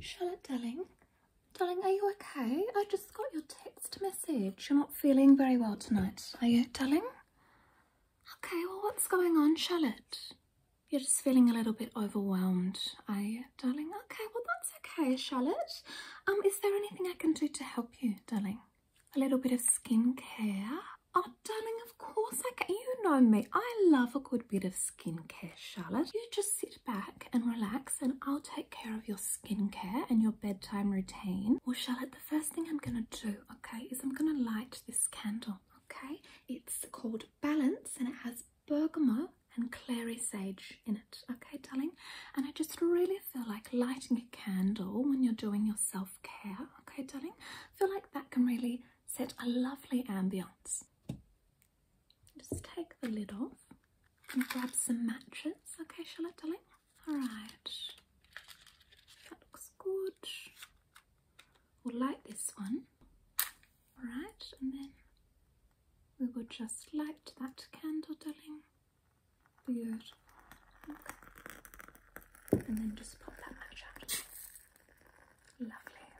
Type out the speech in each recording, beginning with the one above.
Charlotte, darling. Darling, are you okay? I just got your text message. You're not feeling very well tonight, are you, darling? Okay, well, what's going on, Charlotte? You're just feeling a little bit overwhelmed, are you, darling? Okay, well, that's okay, Charlotte. Um, is there anything I can do to help you, darling? A little bit of skincare? Oh, darling, of course I You know me. I love a good bit of skincare, Charlotte. You just sit back and relax and I'll take care of your skincare and your bedtime routine. Well, Charlotte, the first thing I'm going to do, okay, is I'm going to light this candle, okay? It's called Balance and it has bergamot and clary sage in it okay darling and i just really feel like lighting a candle when you're doing your self-care okay darling feel like that can really set a lovely ambience just take the lid off and grab some matches. Okay, shall Charlotte, darling? Alright. That looks good. We'll light this one. Alright, and then we will just light that candle, darling. Beautiful. And then just pop that match out. Lovely.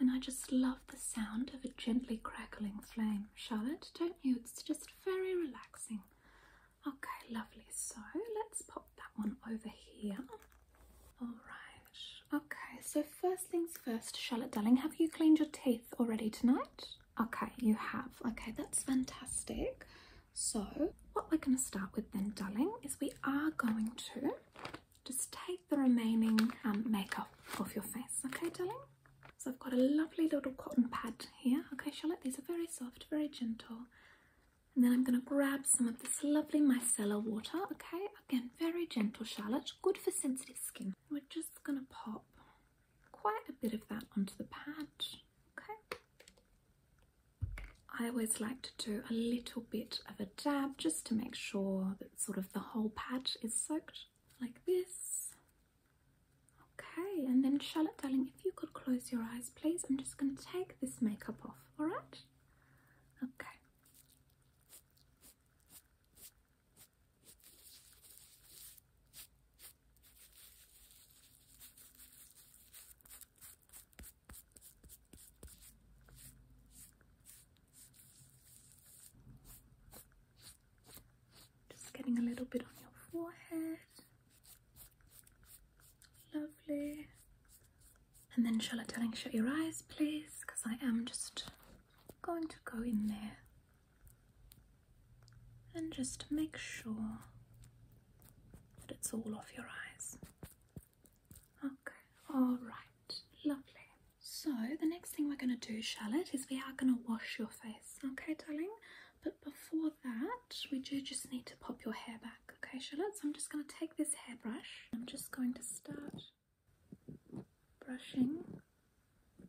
And I just love the sound of a gently crackling flame, Charlotte, don't you? It's just very relaxing. Okay, lovely. So let's pop that one over here. All right. Okay, so first things first, Charlotte darling, have you cleaned your teeth already tonight? Okay, you have. Okay, that's fantastic. So, what we're going to start with then, darling, is we are going to just take the remaining um, makeup off your face, okay, darling? So I've got a lovely little cotton pad here, okay, Charlotte? These are very soft, very gentle. And then I'm going to grab some of this lovely micellar water, okay? Again, very gentle, Charlotte. Good for sensitive skin. We're just going to pop quite a bit of that onto the pad, okay? I always like to do a little bit of a dab just to make sure the sort of the whole patch is soaked like this. Okay, and then Charlotte, darling, if you could close your eyes, please. I'm just going to take this makeup off, all right? Okay. Just getting a little bit on your forehead. Lovely. And then Charlotte darling, shut your eyes please because I am just going to go in there and just make sure that it's all off your eyes. Okay, all right, lovely. So, the next thing we're going to do, Charlotte, is we are going to wash your face, okay, darling? But before that, we do just need to pop your hair back, okay, Charlotte? So, I'm just going to take this hairbrush, I'm just going to start brushing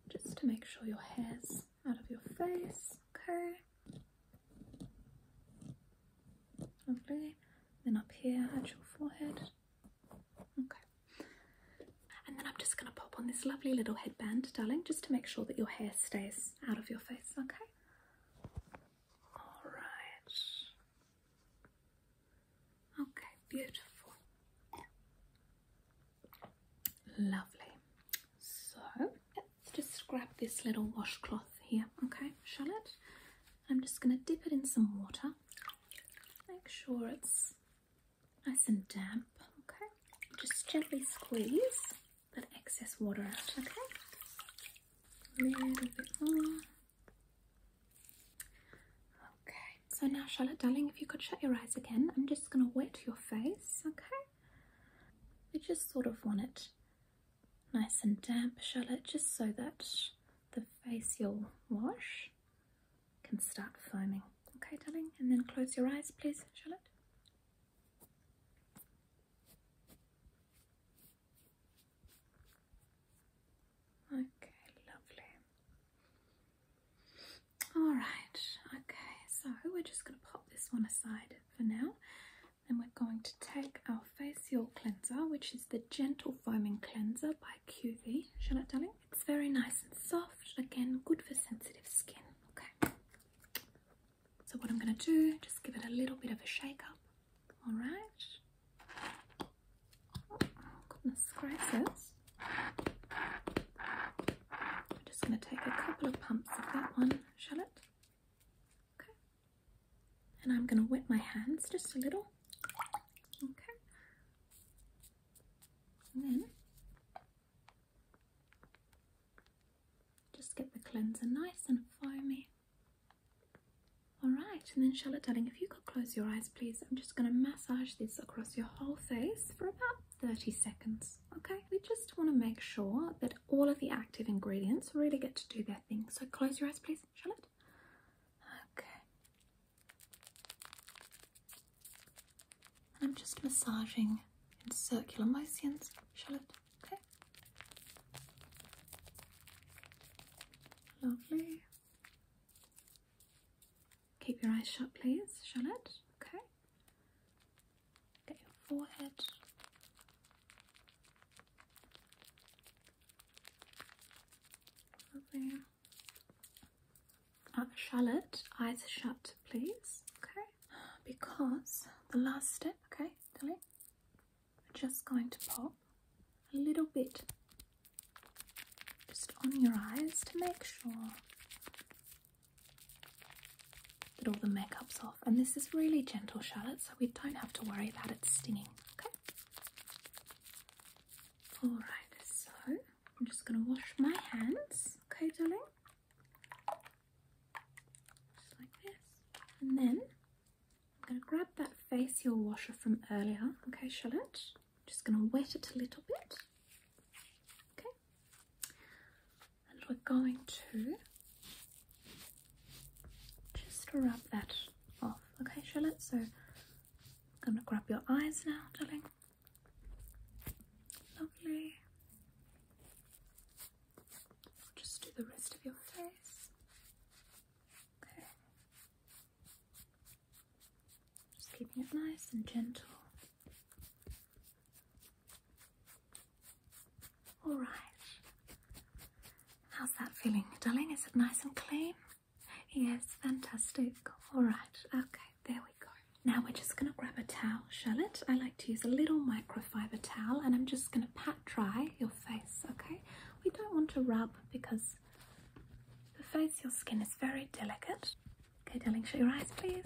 just to make sure your hair's out of your face, okay? Lovely then up here at your forehead. Okay. And then I'm just going to pop on this lovely little headband, darling, just to make sure that your hair stays out of your face, okay? All right. Okay, beautiful. Lovely. So let's just grab this little washcloth here, okay, Charlotte? I'm just going to dip it in some water. Make sure it's nice and damp, okay? Just gently squeeze that excess water out, okay? A little bit more. Okay, so now Charlotte darling, if you could shut your eyes again, I'm just going to wet your face, okay? We just sort of want it nice and damp Charlotte just so that the facial wash can start foaming. Okay darling and then close your eyes please Charlotte. Okay, lovely. Alright, okay, so we're just going to pop this one aside for now then we're going to take our facial cleanser, which is the Gentle Foaming Cleanser by QV. Charlotte Darling, it's very nice and soft. Again, good for sensitive skin. Okay. So what I'm going to do, just give it a little bit of a shake up. All right. Oh, goodness gracious. I'm just going to take a couple of pumps of that one, Charlotte. Okay. And I'm going to wet my hands just a little. Okay. And then just get the cleanser nice and foamy. Alright, and then Charlotte darling, if you could close your eyes please, I'm just going to massage this across your whole face for about 30 seconds. Okay, we just want to make sure that all of the active ingredients really get to do their thing. So close your eyes please shall Okay. And I'm just massaging in circular motions, shall Okay. Lovely. Keep your eyes shut, please, shall Okay. Get your forehead. Lovely. Charlotte, eyes shut, please. Okay. Because the last step, okay, Dilly, just going to pop a little bit just on your eyes to make sure that all the makeup's off. And this is really gentle, Charlotte, so we don't have to worry about it stinging. Okay. Alright, so I'm just going to wash my hands. Okay, darling? Just like this. And then I'm going to grab that facial washer from earlier. Okay, Charlotte? just going to wet it a little bit. Okay. And we're going to just to rub that off. Okay, Charlotte, so I'm gonna grab your eyes now, darling. Lovely. just do the rest of your face. Okay. Just keeping it nice and gentle. All right. How's that feeling, darling? Is it nice and clean? Yes, fantastic. All right. Okay, there we go. Now we're just going to grab a towel, Charlotte. I like to use a little microfiber towel and I'm just going to pat dry your face, okay? We don't want to rub because the face, your skin is very delicate. Okay, darling, shut your eyes, please.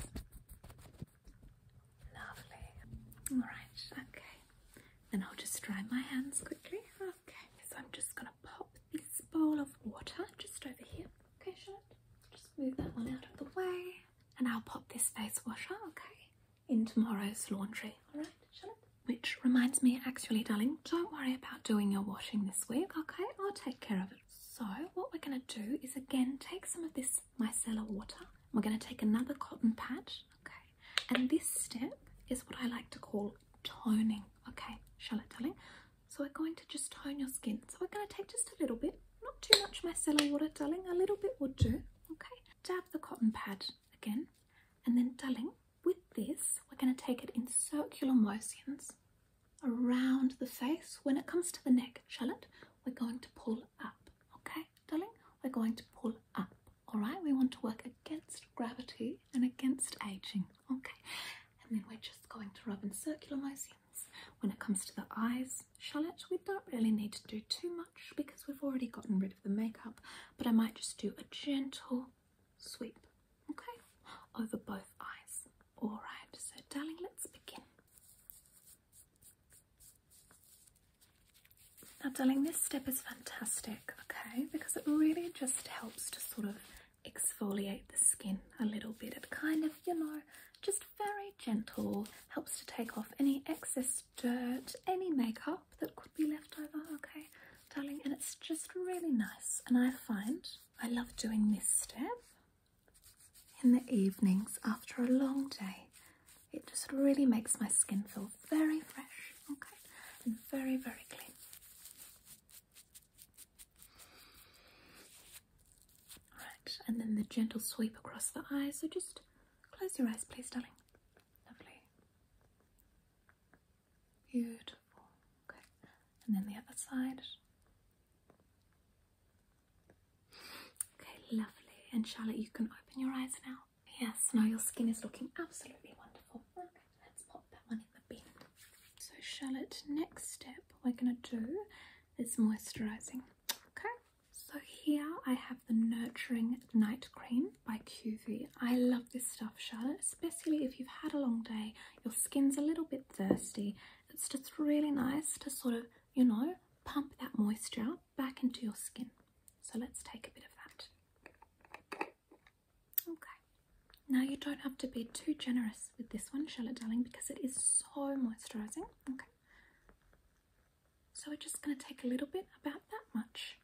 Lovely. All right, okay. Then I'll just dry my hands quickly. Okay, so I'm just gonna pop this bowl of water just over here. Okay, Charlotte, just move that one out of the way. And I'll pop this face washer, okay, in tomorrow's laundry. All right, Charlotte? Which reminds me, actually, darling, don't worry about doing your washing this week, okay? I'll take care of it. So what we're going to do is again take some of this micellar water. We're going to take another cotton pad, okay? And this step is what I like to call toning, okay, Charlotte darling? So we're going to just tone your skin. So we're going to take just a little bit, not too much micellar water, darling. A little bit would do, okay? Dab the cotton pad again. And then, darling, with this, we're going to take it in circular motions around the face. When it comes to the neck, Charlotte, we're going to pull up, okay, darling? We're going to pull up, all right? We want to work against gravity and against aging, okay? And then we're just going to rub in circular motions. When it comes to the eyes, Charlotte, we don't really need to do too much because we've already gotten rid of the makeup, but I might just do a gentle sweep, okay? Over both eyes. All right, so darling, let's begin. Now, darling, this step is fantastic, okay, because it really just helps to sort of exfoliate the skin a little bit. It kind of, you know, just very gentle, helps to take off any excess dirt, any makeup that could be left over, okay, darling, and it's just really nice. And I find I love doing this step in the evenings after a long day it just really makes my skin feel very fresh, okay, and very, very clean. Alright, and then the gentle sweep across the eyes. So just close your eyes, please, darling. Lovely. Beautiful. Okay, and then the other side. Okay, lovely. And Charlotte, you can open your eyes now. Yes, now your skin is looking absolutely wonderful. Okay, let's pop that one in the bin. So, Charlotte, next step we're gonna do is moisturizing. Okay, so here I have the Nurturing Night Cream by QV. I love this stuff, Charlotte, especially if you've had a long day, your skin's a little bit thirsty. It's just really nice to sort of, you know, pump that moisture back into your skin. So let's take a bit of that. Okay. Now you don't have to be too generous with this one, Charlotte darling, because it is so moisturising. Okay. So we're just going to take a little bit, about that much.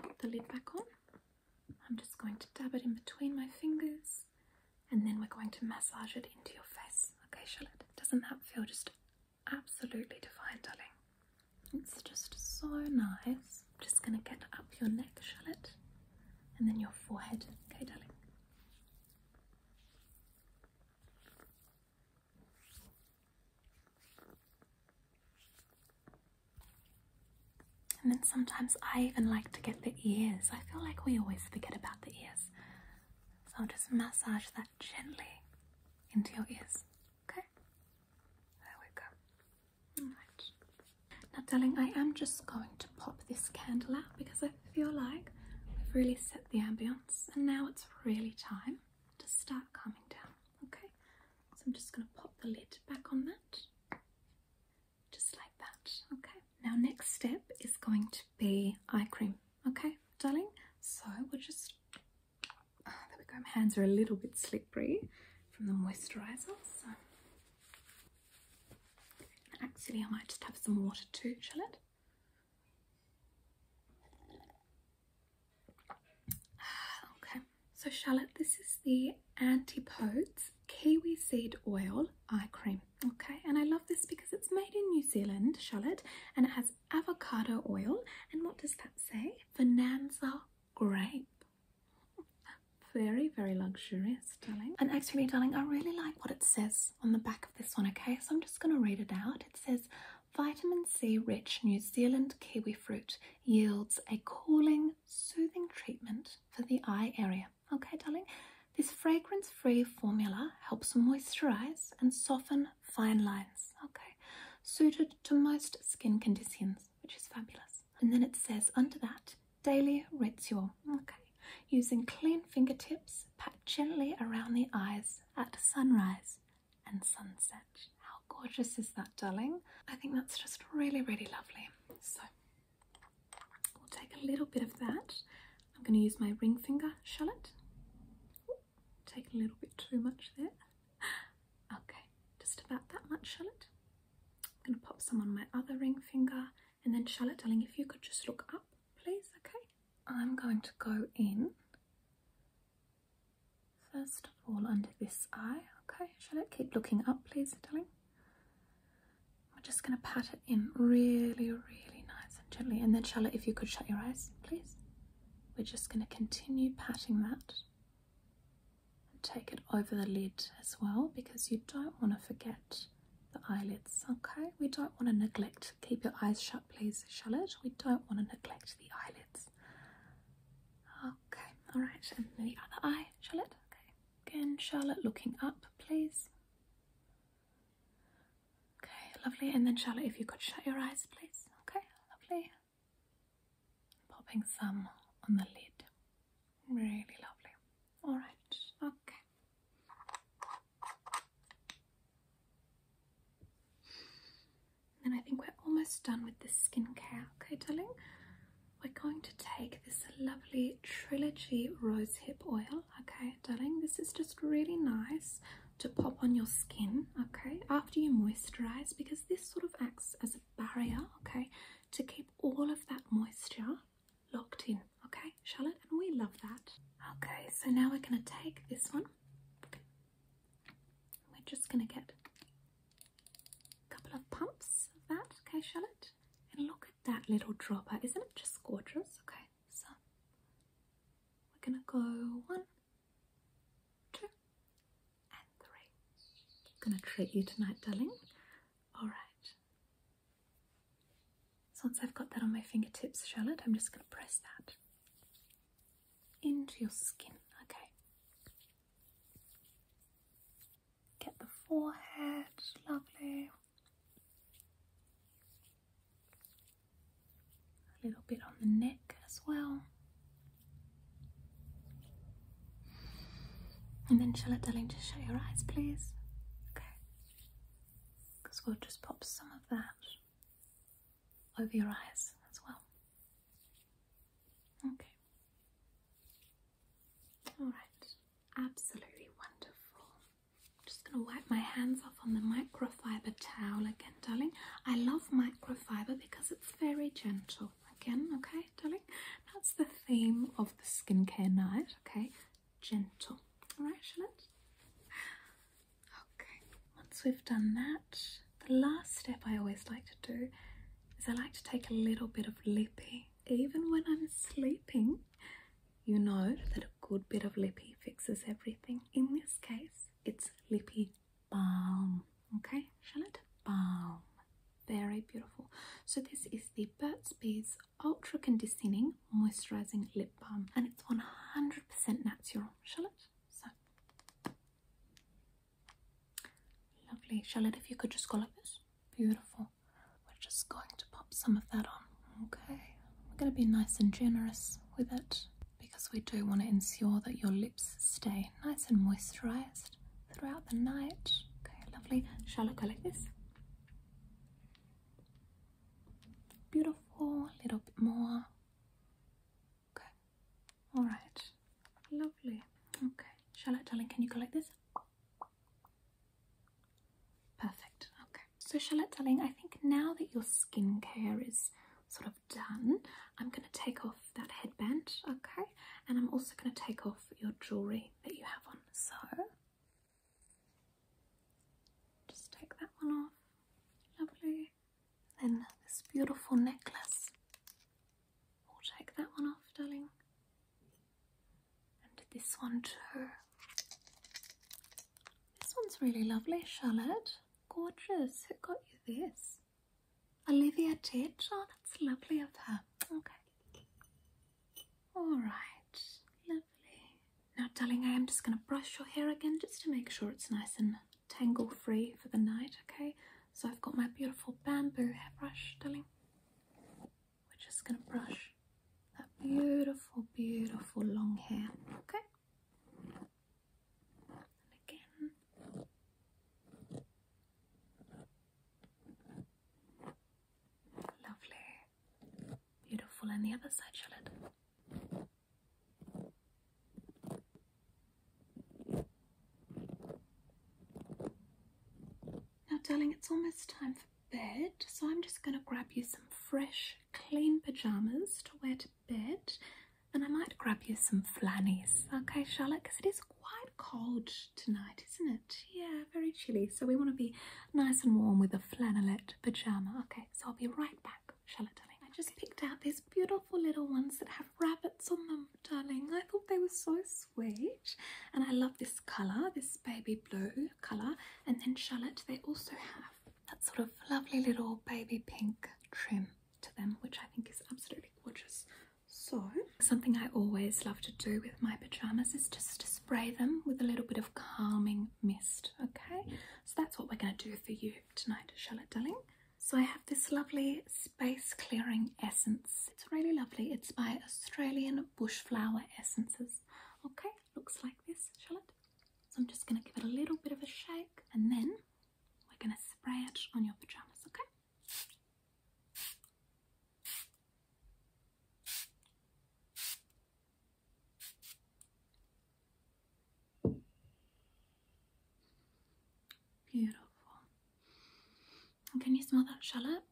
Put the lid back on. I'm just going to dab it in between my fingers and then we're going to massage it into your face. Okay, Charlotte, doesn't that feel just absolutely divine, darling. It's just so nice. I'm just going to get up your neck, shall it? And then your forehead. Okay, darling. And then sometimes I even like to get the ears. I feel like we always forget about the ears. So I'll just massage that gently into your ears. Okay? There we go. Alright. Now, darling, I am just going to pop this candle out because I feel like we've really set the ambience and now it's really time to start calming down. Okay? So I'm just going to pop the lid back on that. Just like that. Okay? Now, next step is going to be eye cream okay, darling? So we'll just, ah, there we go, my hands are a little bit slippery from the moisturiser. So actually I might just have some water too, shall it? Ah, okay, so Charlotte, this is the Antipodes Kiwi Seed Oil Eye Cream Okay, and I love this because it's made in New Zealand, Charlotte, and it has avocado oil. And what does that say? Bonanza grape. Very, very luxurious, darling. And actually, darling, I really like what it says on the back of this one, okay? So I'm just going to read it out. It says, Vitamin C rich New Zealand kiwi fruit yields a cooling, soothing treatment for the eye area. Okay, darling? This fragrance free formula helps moisturize and soften fine lines, okay, suited to most skin conditions, which is fabulous. And then it says under that, daily ritual, okay, using clean fingertips, pat gently around the eyes at sunrise and sunset. How gorgeous is that, darling? I think that's just really, really lovely. So, we'll take a little bit of that I'm going to use my ring finger shallot. Ooh, take a little bit too much there. Okay, just about that much shallot. I'm going to pop some on my other ring finger and then Charlotte darling if you could just look up please okay I'm going to go in first of all under this eye okay Charlotte keep looking up please darling I'm just going to pat it in really, really nice and gently. And then, Charlotte, if you could shut your eyes, please. We're just going to continue patting that and take it over the lid as well because you don't want to forget the eyelids, okay? We don't want to neglect. Keep your eyes shut, please, Charlotte. We don't want to neglect the eyelids. Okay, all right, and the other eye, Charlotte. Okay, again, Charlotte, looking up, please. Okay, lovely. And then Charlotte, if you could shut your eyes, please. Okay, lovely. Popping some on the lid. Really lovely. All right. Okay. Then I think we're almost done with the skincare. Okay, darling. We're going to take this lovely Trilogy Rosehip Oil okay, darling. This is just really nice to pop on your skin, okay, after you moisturize because this sort of acts as a barrier, okay, to keep all of that moisture locked in, okay, Charlotte, and we love that. Okay, so now we're going to take this one. We're just going to get a couple of pumps of that, okay, Charlotte, and look at that little dropper. Isn't it just gorgeous? Okay, so we're gonna go one, two, and three. Gonna treat you tonight, darling. Alright. So once I've got that on my fingertips, Charlotte, I'm just gonna press that into your skin, okay? Get the forehead, lovely. A little bit on the neck as well. And then shall Charlotte darling, just shut your eyes please. Okay. Because we'll just pop some of that over your eyes as well. Okay. Alright. Absolutely wonderful. I'm just going to wipe my hands off on the microfiber towel again, darling. I love microfiber because it's very gentle. Again, okay, darling? That's the theme of the skincare night, okay? Gentle. Alright, Charlotte? Okay, once we've done that, the last step I always like to do is I like to take a little bit of lippy. Even when I'm sleeping, you know that a good bit of lippy fixes everything. In this case, it's lippy balm. Okay, Charlotte? Balm. Very beautiful. So this is the Burt's Bees Ultra Conditioning Moisturizing Lip Balm and it's 100% natural, Charlotte. So lovely. Charlotte, if you could just go like this. Beautiful. We're just going to pop some of that on, okay? We're going to be nice and generous with it because we do want to ensure that your lips stay nice and moisturized throughout the night. Okay, lovely. Shall it go like this? Beautiful. A little bit more. Okay. All right. Lovely. Okay. Charlotte, darling, can you collect this? Perfect. Okay. So Charlotte darling, I think now that your skincare is sort of done, I'm going to take off that headband, okay? And I'm also going to take off your jewelry that you have on. So just take that one off. Lovely. Then this beautiful necklace. We'll take that one off, darling. And this one too. This one's really lovely, Charlotte. Gorgeous. Who got you this? Olivia did? Oh, that's lovely of her. Okay. All right. Lovely. Now, darling, I am just going to brush your hair again just to make sure it's nice and tangle free for the night, okay? So I've got my beautiful bamboo hairbrush, darling we're just going to brush that beautiful, beautiful long hair, okay? And again. Lovely. Beautiful. And the other side, shall Now, darling, it's almost time for bed, so I'm just going to grab you some fresh, clean pajamas to wear to bed, and I might grab you some flannels, okay, Charlotte? Because it is quite cold tonight, isn't it? Yeah, very chilly, so we want to be nice and warm with a flannelette pajama. Okay, so I'll be right back, Charlotte, darling. I just picked out these beautiful little ones that have rabbits on them, darling. I thought they were so sweet, and I love this colour, this baby blue colour and then Charlotte they also have that sort of lovely little baby pink trim to them which I think is absolutely gorgeous. So something I always love to do with my pyjamas is just spray them with a little bit of calming mist okay so that's what we're going to do for you tonight Charlotte darling. So I have this lovely space clearing essence. It's really lovely. It's by Australian bush flower essences. Okay, looks like this, shall it? So I'm just going to give it a little bit of a shake and then we're going to spray it on your pajamas, okay? Beautiful. And can you smell that shallot?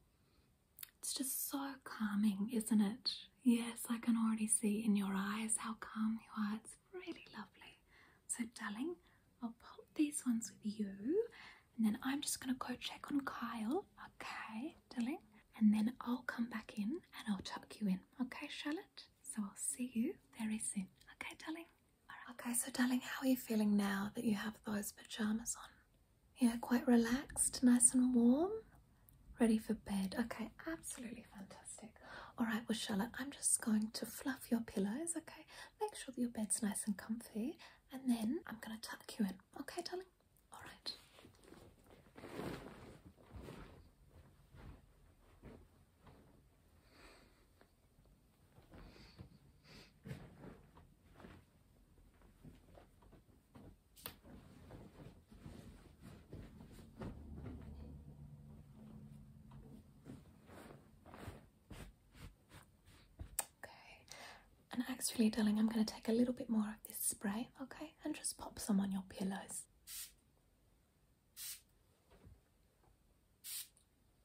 It's just so calming, isn't it? Yes, I can already see in your eyes how calm you are. It's really lovely. So, darling, I'll pop these ones with you, and then I'm just gonna go check on Kyle, okay, darling? And then I'll come back in and I'll tuck you in, okay, Charlotte? So, I'll see you very soon, okay, darling? Okay, so, darling, how are you feeling now that you have those pajamas on? Yeah, quite relaxed, nice and warm, ready for bed. Okay, absolutely fantastic. All right, well, Charlotte, I'm just going to fluff your pillows, okay? Make sure that your bed's nice and comfy, and then I'm going to tuck you in. Okay, darling? All right. Okay, and actually, darling, I'm going to take a little bit more of this spray, okay, and just pop some on your pillows. Okay.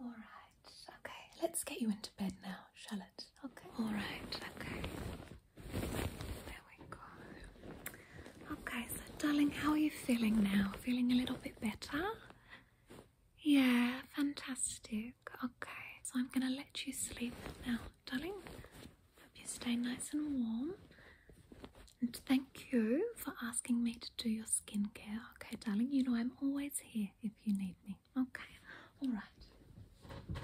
All right. Okay. Let's get you into bed now, shall it? Okay. All right. Okay. There we go. Okay, so darling, how are you feeling now? Feeling a little bit better? Yeah, fantastic. Okay. So I'm going to let you sleep now, darling. Hope you stay nice and warm. And thank you for asking me to do your skincare. Okay, darling, you know I'm always here if you need me. Okay, all right.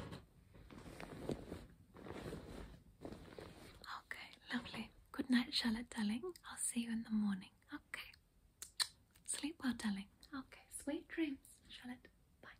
Okay, lovely. Good night, Charlotte, darling. I'll see you in the morning. Okay. Sleep well, darling. Okay, sweet dreams, Charlotte. Bye.